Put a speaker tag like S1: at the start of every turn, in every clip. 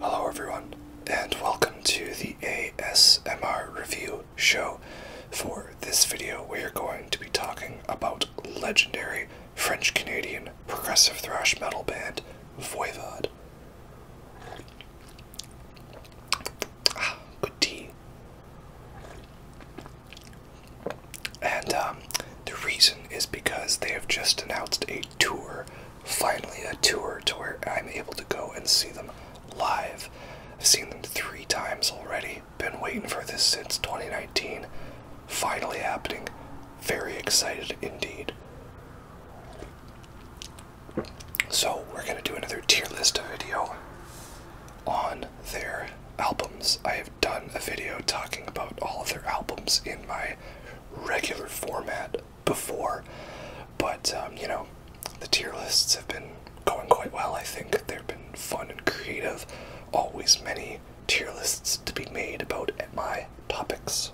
S1: Hello, everyone, and welcome to the ASMR review show. For this video, we are going to be talking about legendary French Canadian progressive thrash metal band Voivod good tea. And um, the reason is because they have just announced a tour, finally, a tour to where I'm able to go and see them live. I've seen them three times already, been waiting for this since 2019. Finally happening. Very excited indeed. So we're gonna do another tier list video on their albums. I have done a video talking about all of their albums in my regular format before, but um, you know, the tier lists have been going quite well. I think they've been fun and creative. Always many tier lists to be made about my topics.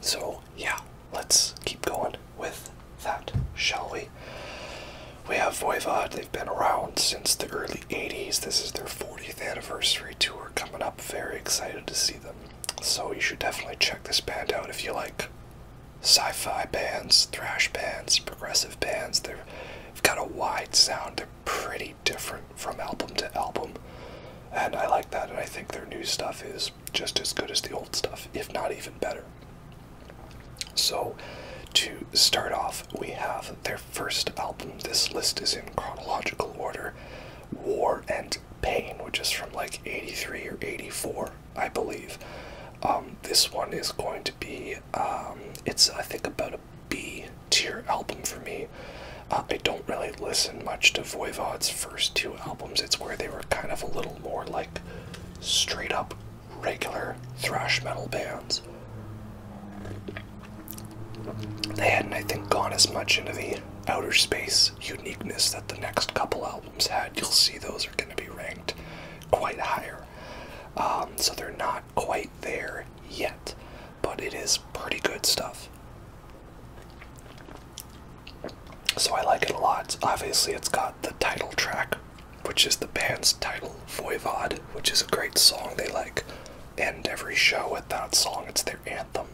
S1: So, yeah, let's keep going with that, shall we? We have Voivod, they've been around since the early 80s. This is their 40th anniversary tour coming up. Very excited to see them. So, you should definitely check this band out if you like sci fi bands, thrash bands, progressive bands. They've got a wide sound, they're pretty different from album to album. And I like that, and I think their new stuff is just as good as the old stuff, if not even better. So, to start off, we have their first album. This list is in chronological order War and Pain, which is from like 83 or 84, I believe. Um, this one is going to be, um, it's I think about a B tier album for me. Uh, I don't really listen much to Voivod's first two albums. It's where they were kind of a little more like straight up regular thrash metal bands. They hadn't, I think, gone as much into the outer space uniqueness that the next couple albums had. You'll see those are going to be ranked quite higher. Um, so they're not quite there yet but it is pretty good stuff. So I like it a lot. Obviously, it's got the title track, which is the band's title, Voivod, which is a great song. They like end every show with that song, it's their anthem.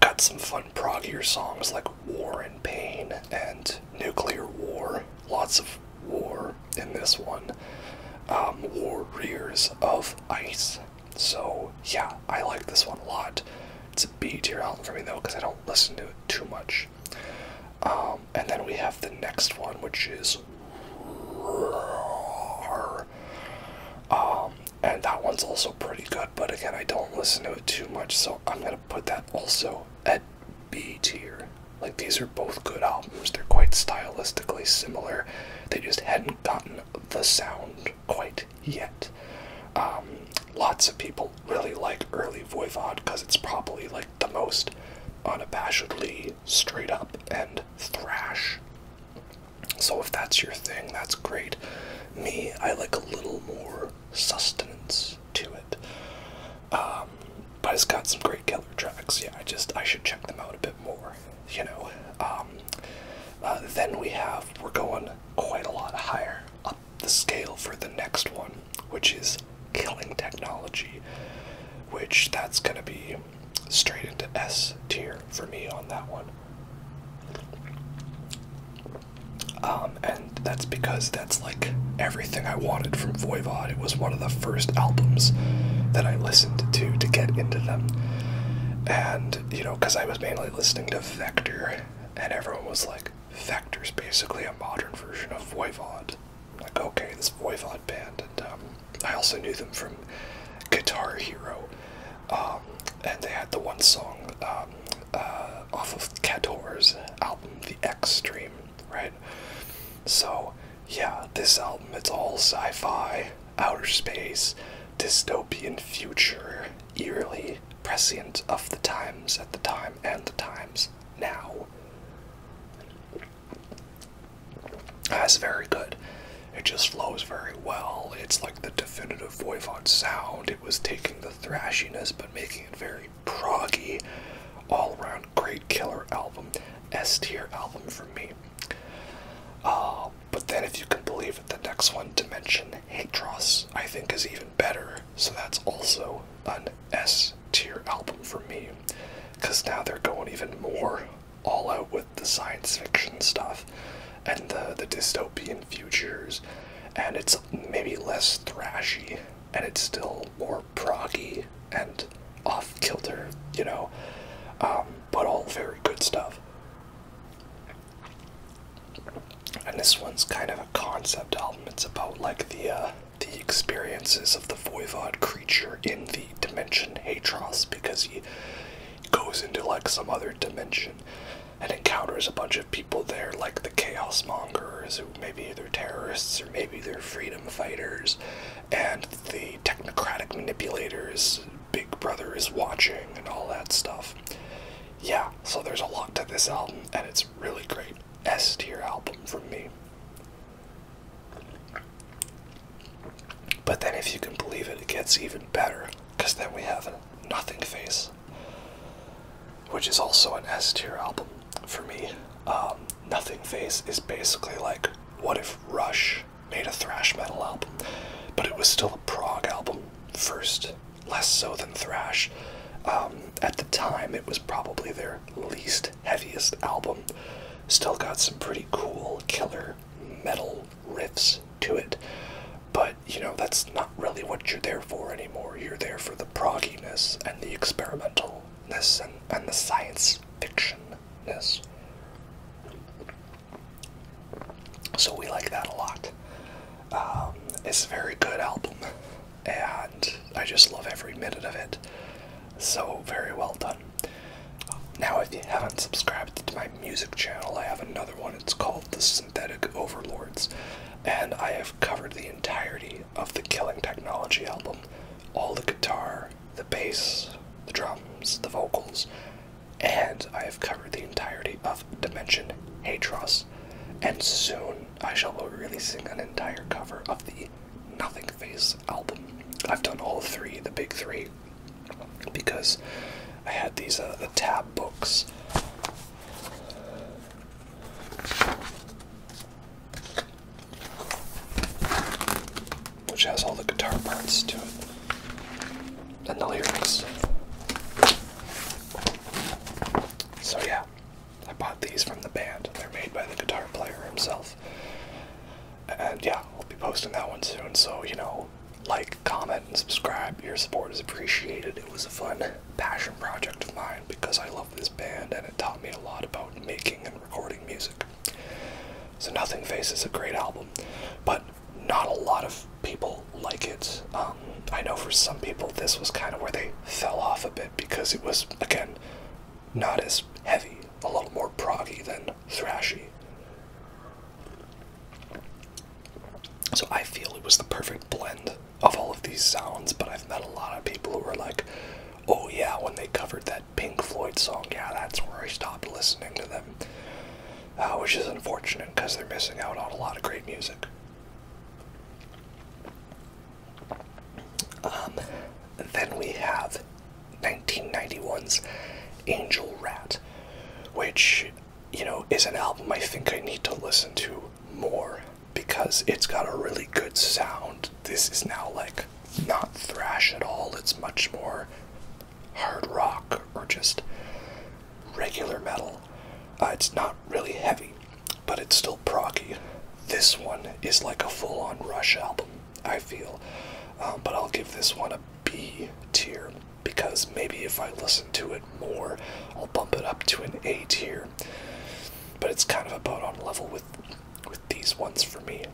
S1: Got some fun proggier songs like War and Pain and Nuclear War. Lots of war in this one. Um, warriors of Ice so yeah, I like this one a lot. It's a B tier album for me though, because I don't listen to it too much. Um, and then we have the next one, which is um, and that one's also pretty good, but again, I don't listen to it too much, so I'm gonna put that also at B tier. Like these are both good albums. They're quite stylistically similar. They just hadn't gotten the sound quite yet. Um, lots of people really like early Voivod because it's probably like the most unabashedly straight up and thrash. So if that's your thing, that's great. Me, I like a little more sustenance to it. Um, but it's got some great killer tracks. Yeah, I just I should check them out a bit more you know. Um, uh, then we have, we're going quite a lot higher up the scale for the next one, which is killing technology, which that's going to be straight into S tier for me on that one. Um, and that's because that's like everything I wanted from Voivod. It was one of the first albums that I listened to to get into them. And you know, because I was mainly listening to Vector, and everyone was like, Vector's basically a modern version of Voivod. Like, okay, this Voivod band, and um, I also knew them from Guitar Hero, um, and they had the one song um, uh, off of Kator's album, The X Stream, right? So, yeah, this album, it's all sci fi outer space, dystopian future, eerily prescient of the times at the time and the times now. That's very good. It just flows very well. It's like the definitive Voivod sound. It was taking the thrashiness but making it very
S2: proggy. All around great killer album. S tier album for me.
S1: Uh, but then, if you can believe it, the next one, Dimension Hatros, I think is even better. So that's
S2: also an S tier album for me. Because now they're going even more all out with the science fiction
S1: stuff and the, the dystopian futures. And it's maybe less thrashy and it's still more proggy and off kilter, you know, um, but all very good stuff. And this one's kind of a concept album. It's about like the uh, the experiences of the voivod creature in the dimension Hatros because he goes into like some other dimension and encounters a bunch of people there, like the chaos mongers, who maybe they're terrorists or maybe they're freedom fighters, and the technocratic manipulators Big Brother is watching and all that stuff. Yeah, so there's a lot to this album, and it's really great. S tier album for me. But then, if you can believe it, it gets even better, because then we have Nothing Face, which is also an S tier album for me. Um, nothing Face is basically like what if Rush made a thrash metal album, but it was still a prog album first, less so than thrash. Um, at the time, it was probably their least heaviest album. Still got some pretty cool killer metal riffs to it, but you know that's not really what you're there for anymore. You're there for the progginess and the experimentalness and, and the science fictionness. So we like that a lot. Um, it's a very good album, and I just love every minute of it. So very well done. Now, if you haven't subscribed to my music channel, I have another one. It's called The Synthetic Overlords, and I have covered the entirety of the Killing Technology album all the guitar, the bass, the drums, the vocals, and I have covered the entirety of Dimension Hatros, and soon I shall be releasing an entire cover of the Nothing Face album. I've done all three, the big three, because I had these uh, the tab books. Which has all the guitar parts to it and the lyrics. So, yeah, I bought these from the band. They're made by the guitar player himself. And yeah, we'll be posting that one soon. So, you know, like, comment, and subscribe. Your support is appreciated. It was a fun passion project of mine because I love this band and it taught me a lot about making and recording music. So, Nothing faces a great album, but not a lot of people like it. Um, I know for some people this was kind of where they fell off a bit because it was, again, not as heavy, a little more proggy than thrashy. So I feel it was the perfect blend of all of these sounds, but I've met a lot of people who are like, oh yeah, when they covered that Pink Floyd song, yeah, that's where I stopped listening to them. Uh, which is unfortunate because they're missing out on a lot of great music. Um, then we have 1991's Angel Rat, which, you know, is an album I think I need to listen to more because it's got a really good sound. This is now like not thrash at all, it's much more hard rock or just regular metal. Uh, it's not really heavy, but it's still proggy. This one is like a full on Rush album, I feel. Um, but I'll give this one a B tier because maybe if I listen to it more, I'll bump it up to an A tier. But it's kind of about on level with with these ones for me.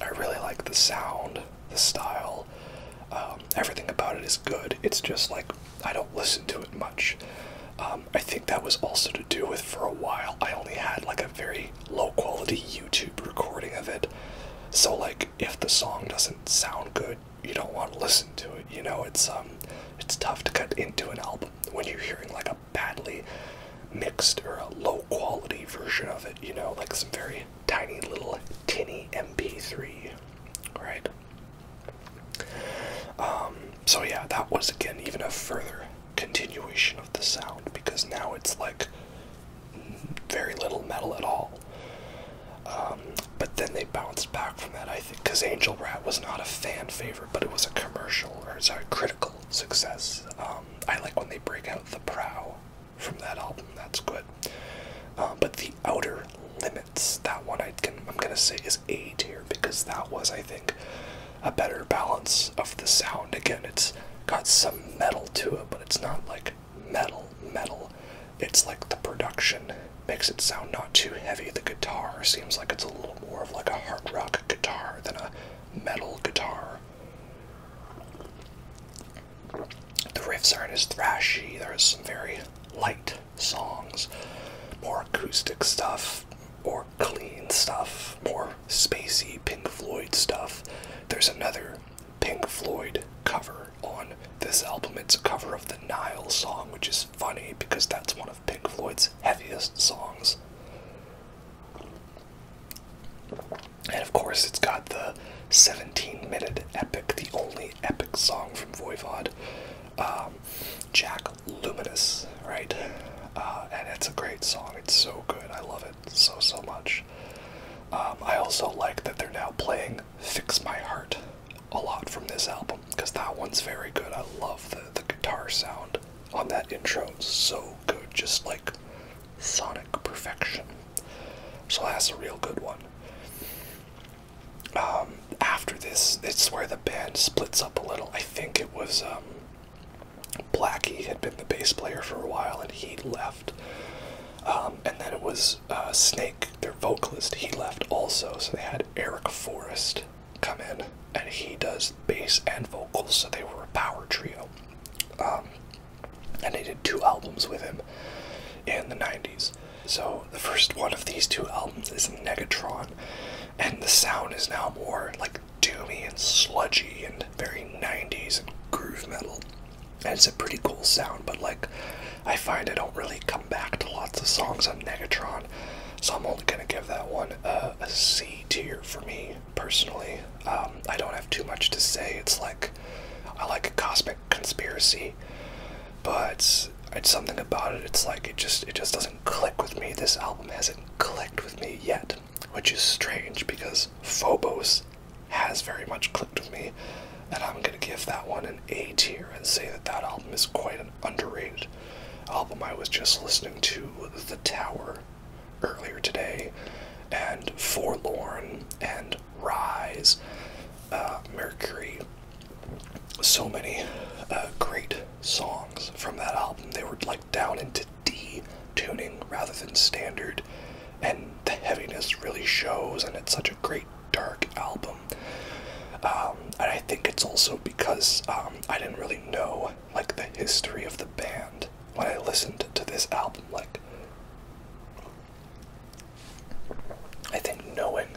S1: I really like the sound the style. Um, everything about it is good. It's just like I don't listen to it much. Um, I think that was also to do with for a while I only had like a very low quality YouTube recording of it. So like if the song doesn't
S2: sound good, you don't want to listen to it. You know, it's um, it's tough to cut into an album
S1: when you're hearing like a badly mixed or a low quality version of it. You know, like some very tiny little tinny MP3. Right? Um, so yeah, that was again even a further continuation of the sound because now it's like very little metal at all. Um, but then they bounced back from that, I think, because Angel Rat was not a fan favorite, but it was a commercial or a critical success. Um, I like when they break out the prow from that album. That's good. Uh, but the Outer Limits, that one I can I'm gonna say is A tier because that was I think a better balance of the sound. Again, it's got some metal to it, but it's not like metal metal. It's like the production makes it sound not too heavy. The guitar seems like it's a little more of like a hard rock guitar than a metal guitar. The riffs aren't as thrashy, there's some very light songs, more acoustic stuff, more clean stuff, more spacey Pink Floyd stuff. There's another Pink Floyd cover on this album. It's a cover of the Nile song, which is funny because that's one of Pink Floyd's heaviest songs. And of course, it's got the 17 minute epic, the only epic song from Voivod, um, Jack Luminous, right? Uh, and it's a great song. It's so good. I love it so, so much. Um, I also like that they're now playing Fix My Heart a lot from this album because that one's very good. I love the, the guitar sound on that intro. It's so good. Just like sonic perfection. So that's a real good one. Um, after this, it's where the band splits up a little. I think it was um, Blackie had been the bass player for a while, and he left. Um, and then it was uh, Snake, their vocalist. He left also, so they had Eric Forrest come in, and he does bass and vocals. So they were a power trio, and they did two albums with him in the '90s. So, the first one of these two albums is Negatron, and the sound is now more like doomy and sludgy and very 90s and groove metal. And it's a pretty cool sound, but like I find I don't really come back to lots of songs on Negatron, so I'm only gonna give that one a C tier for me personally. Um, I don't have too
S2: much to say. It's like I like cosmic conspiracy but
S1: it's something about it. It's like it just it just doesn't click with me. This album hasn't clicked with me yet, which is strange because Phobos has very much clicked with me, and I'm gonna give that one an A tier and say that that album is quite an underrated album. I was just listening to
S2: The Tower earlier today, and Forlorn and Rise, uh,
S1: Mercury. So many uh, great songs from that album. They were like down into D tuning rather than standard, and the heaviness really shows, and it's such a great dark album. Um, and I think it's also because um, I didn't really know like the history of the band when I listened to this album. Like, I think knowing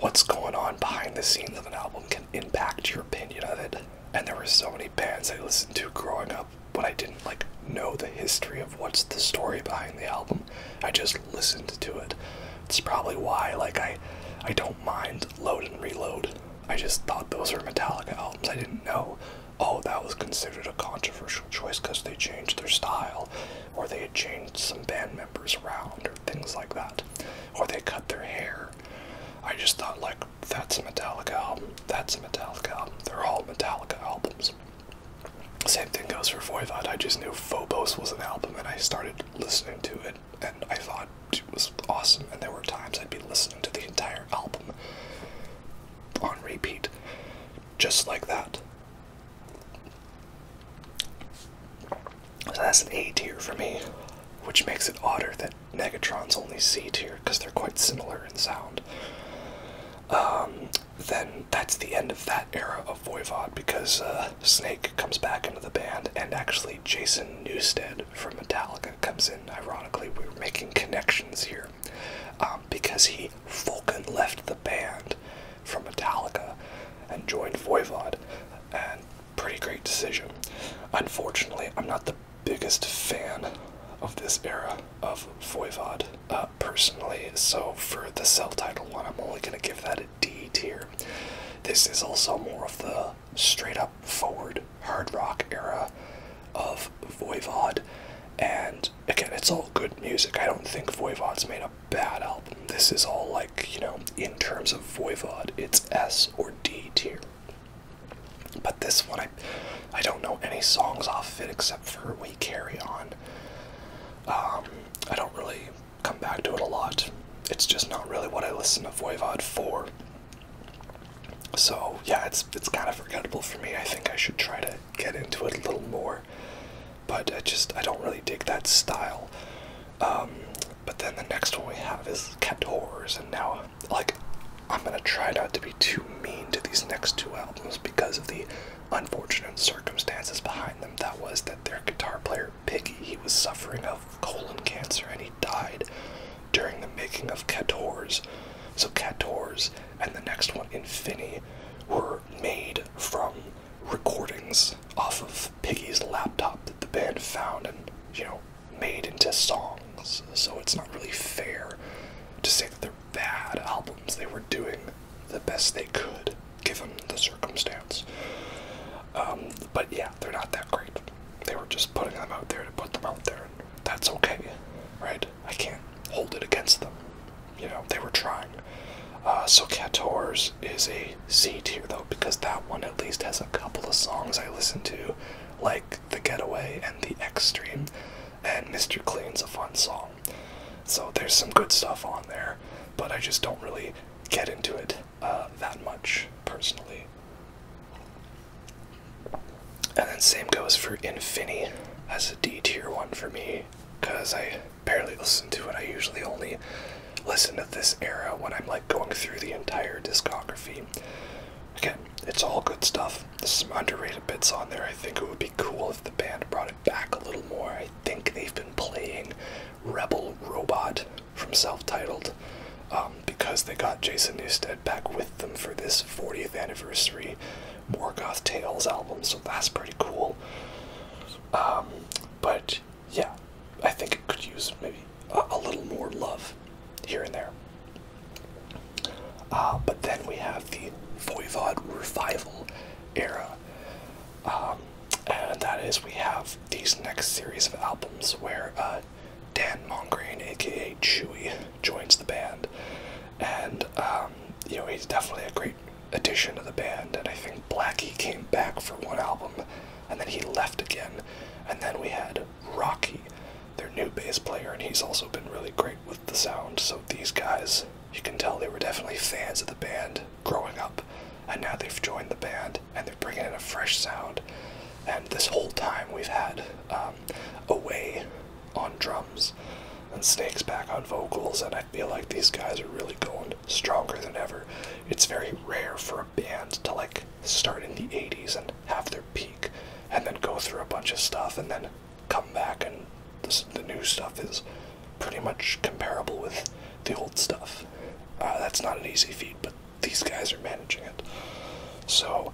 S1: what's going on behind the scenes of an album can impact your opinion of it. And there were so many bands I listened to growing up, when I didn't like know the history of what's the story behind the album. I just listened to it. It's probably why like I I don't mind Load and Reload. I just thought those were Metallica albums. I didn't know oh that was considered a controversial choice because they changed their style, or they had changed some band members around, or things like that, or they cut their hair. I just thought, like, that's a Metallica album, that's a Metallica album, they're all Metallica albums. Same thing goes for Voivod. I just knew Phobos was an album, and I started listening to it, and I thought it was awesome. And there were times I'd be listening to the entire album on repeat, just like that. So that's an A tier for me, which makes it odder that Megatron's only C tier because they're quite similar in sound. Um, then that's the end of that era of Voivod because uh, Snake comes back into the band, and actually Jason Newsted from Metallica comes in. Ironically, we are making connections here um, because he Vulcan left the band from Metallica and joined Voivod, and pretty great decision. Unfortunately, I'm not the biggest fan of this era of Voivod uh, personally,
S2: so for the self title one, I'm only going to give that a D tier. This is also
S1: more of the straight up forward hard rock era of Voivod,
S2: and again, it's all good music. I don't think Voivod's made a bad album.
S1: This is all like, you know, in terms of Voivod, it's S or D tier. But this one, I, I don't know any songs off it except for We Carry On. Um, I don't really come back to it a lot. It's just not really what I listen to Voivod for. So yeah, it's it's kind of forgettable for me. I think I should try to get into it a little more but I just I don't really dig that style. Um, but then the next one we have is Cat Horrors, and now like I'm gonna try not to be too mean to these next two albums because of the unfortunate circumstances behind them. That was that their guitar player Piggy he was suffering of colon cancer and he died during the making of Cat Horrors. So Cat Horrors and the next one Infinity were made from recordings off of Piggy's laptop that the band found and, you know, made into songs. So it's not really fair
S2: to say that they're bad albums. They were doing the best they could given the
S1: circumstance. Um, but yeah, they're not that great. They were just putting them out there to put them out there. That's okay, right? I can't hold it against them you know, they were trying. Uh, so Catours is a C tier though, because that one at least has a couple of songs I listen to, like The Getaway and The Extreme, and Mr. Clean's a fun song. So there's some good stuff on there, but I just don't really get into it uh, that much personally. And then same goes for Infinity as a D tier one for me, because I barely listen to it. I usually only
S2: listen to this era when I'm like going through the entire discography. Again, it's all good stuff. There's some underrated bits on there. I think it would be cool if the band brought it back a little
S1: more. I think they've been playing Rebel Robot from Self Titled um, because they got Jason Newsted back with them for this 40th anniversary Morgoth Tales album, so that's pretty cool. Um, but yeah, I think it could use maybe
S2: a, little more love here and there. Uh, but then we have the Voivod revival
S1: era, um, and that is we have these next series of albums where uh, Dan Mongrain, aka Chewy, joins the band, and um, you know he's definitely a great addition to the band, and I think Blackie came back for one album, and then he left again, and then we had Rocky, their new bass player, and he's also been really great with the sound. So these guys, you can tell they were definitely fans of the band growing up, and now they've joined the band and they're bringing in a fresh sound. And this whole time we've had um, Away on drums and Snakes back on vocals, and I feel like these guys are really going stronger than ever it's very rare for a band to like start in the 80s and have their peak and then go through a bunch of stuff and then come back and the new stuff is pretty much comparable with the old stuff. Uh, that's not an easy feat, but these guys are managing it. So,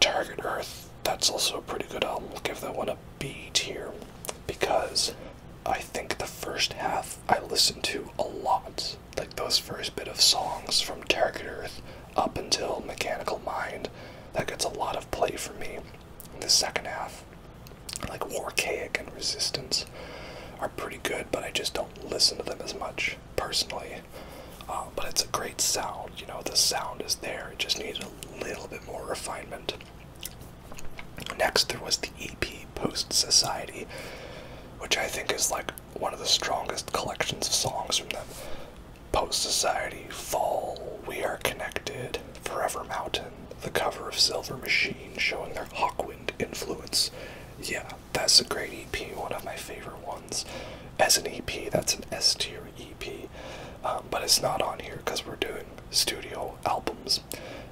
S1: Target Earth, that's also a pretty good album. give that one a B tier because I think the first half I listen to a lot, like those first bit of songs from Target Earth up until Mechanical Mind. That gets a lot of play for me. the second half, like Warcaic and Resistance, are pretty good, but I just don't listen to them as much personally. Uh, but it's a great sound, you know, the sound is there, it just needs a little bit more refinement. Next, there was the EP Post Society, which I think is like one of the strongest collections of songs from them. Post Society, Fall, We Are Connected, Forever Mountain, the cover of Silver Machine showing their Hawkwind influence. Yeah, that's a great EP, one of my favorite ones. As an EP, that's an S tier EP, um, but it's not on here because we're doing studio albums.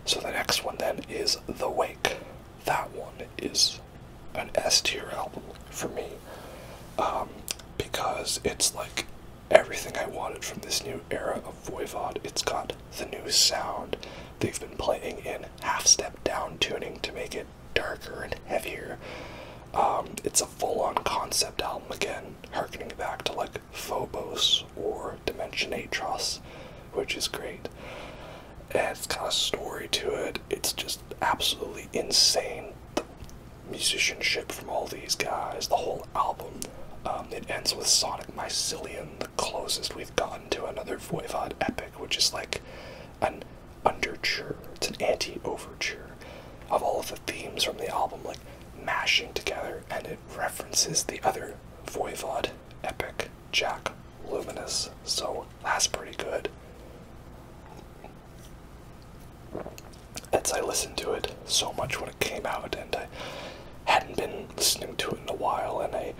S1: So the next one then is The Wake. That one is an S tier album for me um, because it's like everything I wanted from this new era of Voivod. It's got the new sound. They've been playing in half step down tuning to make it darker and heavier. Um, it's a full on concept album again, harkening back to like Phobos or Dimension Atros, which is great. And it's got a story to it. It's just absolutely insane. The musicianship from all these guys, the whole album. Um, it ends with Sonic Mycelium, the closest we've gotten to another Voivod epic, which is like an underture. It's an anti-overture of all the themes from the album, like mashing together, and it references the other Voivod epic. Jack Luminous, so that's pretty good. As I listened to it so much when it came out, and I hadn't been listening to it in a while, and I,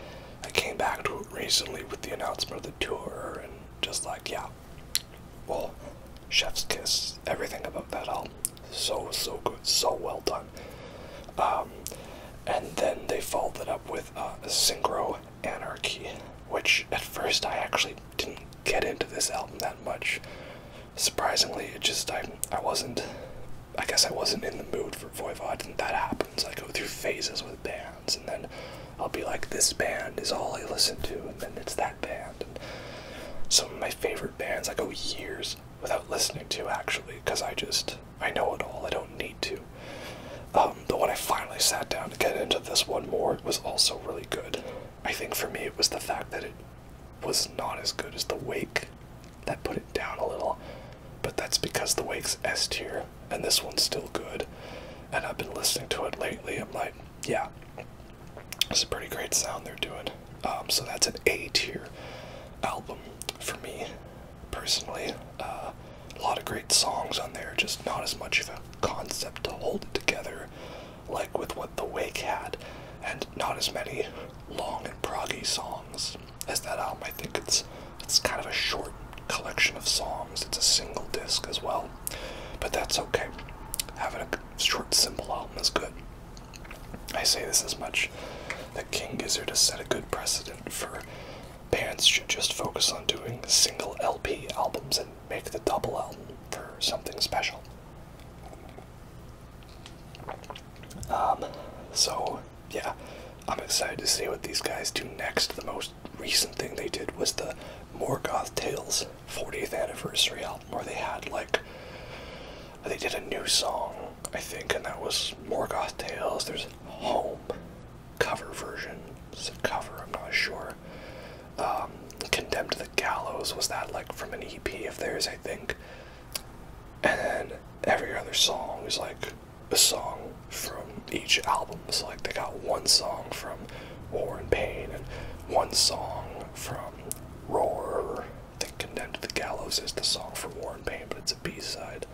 S1: I came back to it recently with the announcement of the tour, and just like, yeah, well, Chef's Kiss, everything about that album, so, so good, so well done. Um, and then they followed it up with uh, Synchro Anarchy, which at first I actually didn't get into this album that much. Surprisingly, it just I I wasn't. I guess I wasn't in the mood for Voivod, and that happens. I go through phases with bands, and then I'll be like, this band is all I listen to, and then it's that band. And some of my favorite bands I go years without listening to actually, because I just I know it all. I don't need to. Um, but when I finally sat down to get into this one more, it was also really good. I think for me it was the fact that it was not as good as The Wake. That put it down a little. But that's because The Wake's S tier, and this one's still good. And I've been listening to it lately. I'm like, yeah, it's a pretty great sound they're doing. Um, so that's an A tier album for me personally. Uh, a lot of great songs on there, just not as much of a concept to hold it together like with what The Wake had, and not as many long and proggy songs as that album. I think it's it's kind of a short collection of songs. It's a single disc as well, but that's okay. Having a short, simple album is good. I say this as much. that King Gizzard has set a good precedent for Pants should just focus on doing single LP albums and make the double album for something special. Um, so, yeah, I'm excited to see what these guys do next. The most recent thing they did was the Morgoth Tales 40th anniversary album, where they had like they did a new song, I think, and that was Morgoth Tales. There's home cover version. It's a cover, I'm not sure. Um, Condemned to the Gallows was that like from an EP of theirs, I think. And then every other song is like a song from each album. So like they got one song from War and Pain and one song from Roar. I think Condemned the Gallows is the song
S2: from War and Pain, but it's a B-side.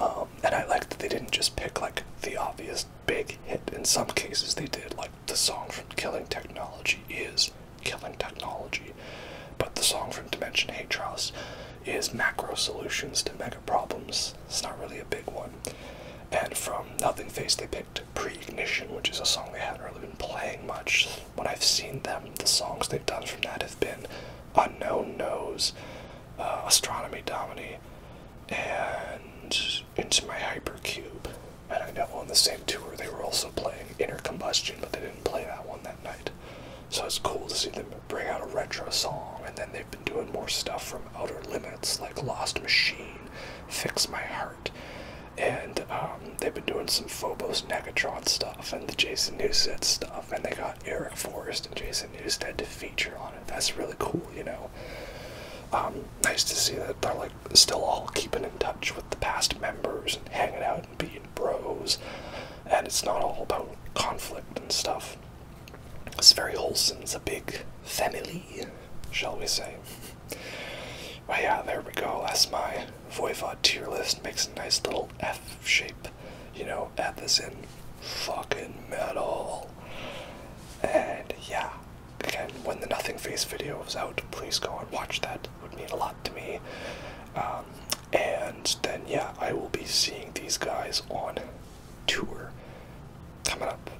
S2: Um, and I like that they didn't just pick like the obvious big hit. In some cases, they did. Like the song from Killing Technology is
S1: Killing Technology, but the song from Dimension Hatros is Macro Solutions to Mega Problems. It's not really a big one. And from Nothing Face, they picked Pre-Ignition, which is a song they haven't really been playing much. When I've seen them, the songs they've done from that have been Unknown Nose, uh, Astronomy Domini, and Into My Hypercube. And I know on the same tour they were also playing Inner Combustion, but they didn't play that one that night. So it's cool to see them bring out a retro song, and then they've been doing more stuff from Outer Limits, like Lost Machine, Fix My Heart, and um, they've been doing some Phobos Negatron stuff and the Jason Newsted stuff, and they got Eric Forest and Jason and they just had to feature on it. That's really cool, you know. Um, nice to see that they're like still all keeping in touch with the past members and hanging out and being bros, and it's not all about conflict and stuff. It's very wholesome. It's a big family, shall we say? But yeah, there we go. That's my Voivod tier list. Makes a nice little F shape you know, at this in fucking metal. And yeah, again, when the Nothing Face video was out, please go and watch that. It would mean a lot to me. Um, and then yeah, I will be seeing these guys on tour coming up.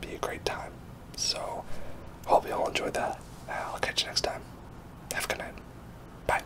S1: Be a great time. So, hope you all enjoyed that. I'll catch you next time. Have a good night. Bye.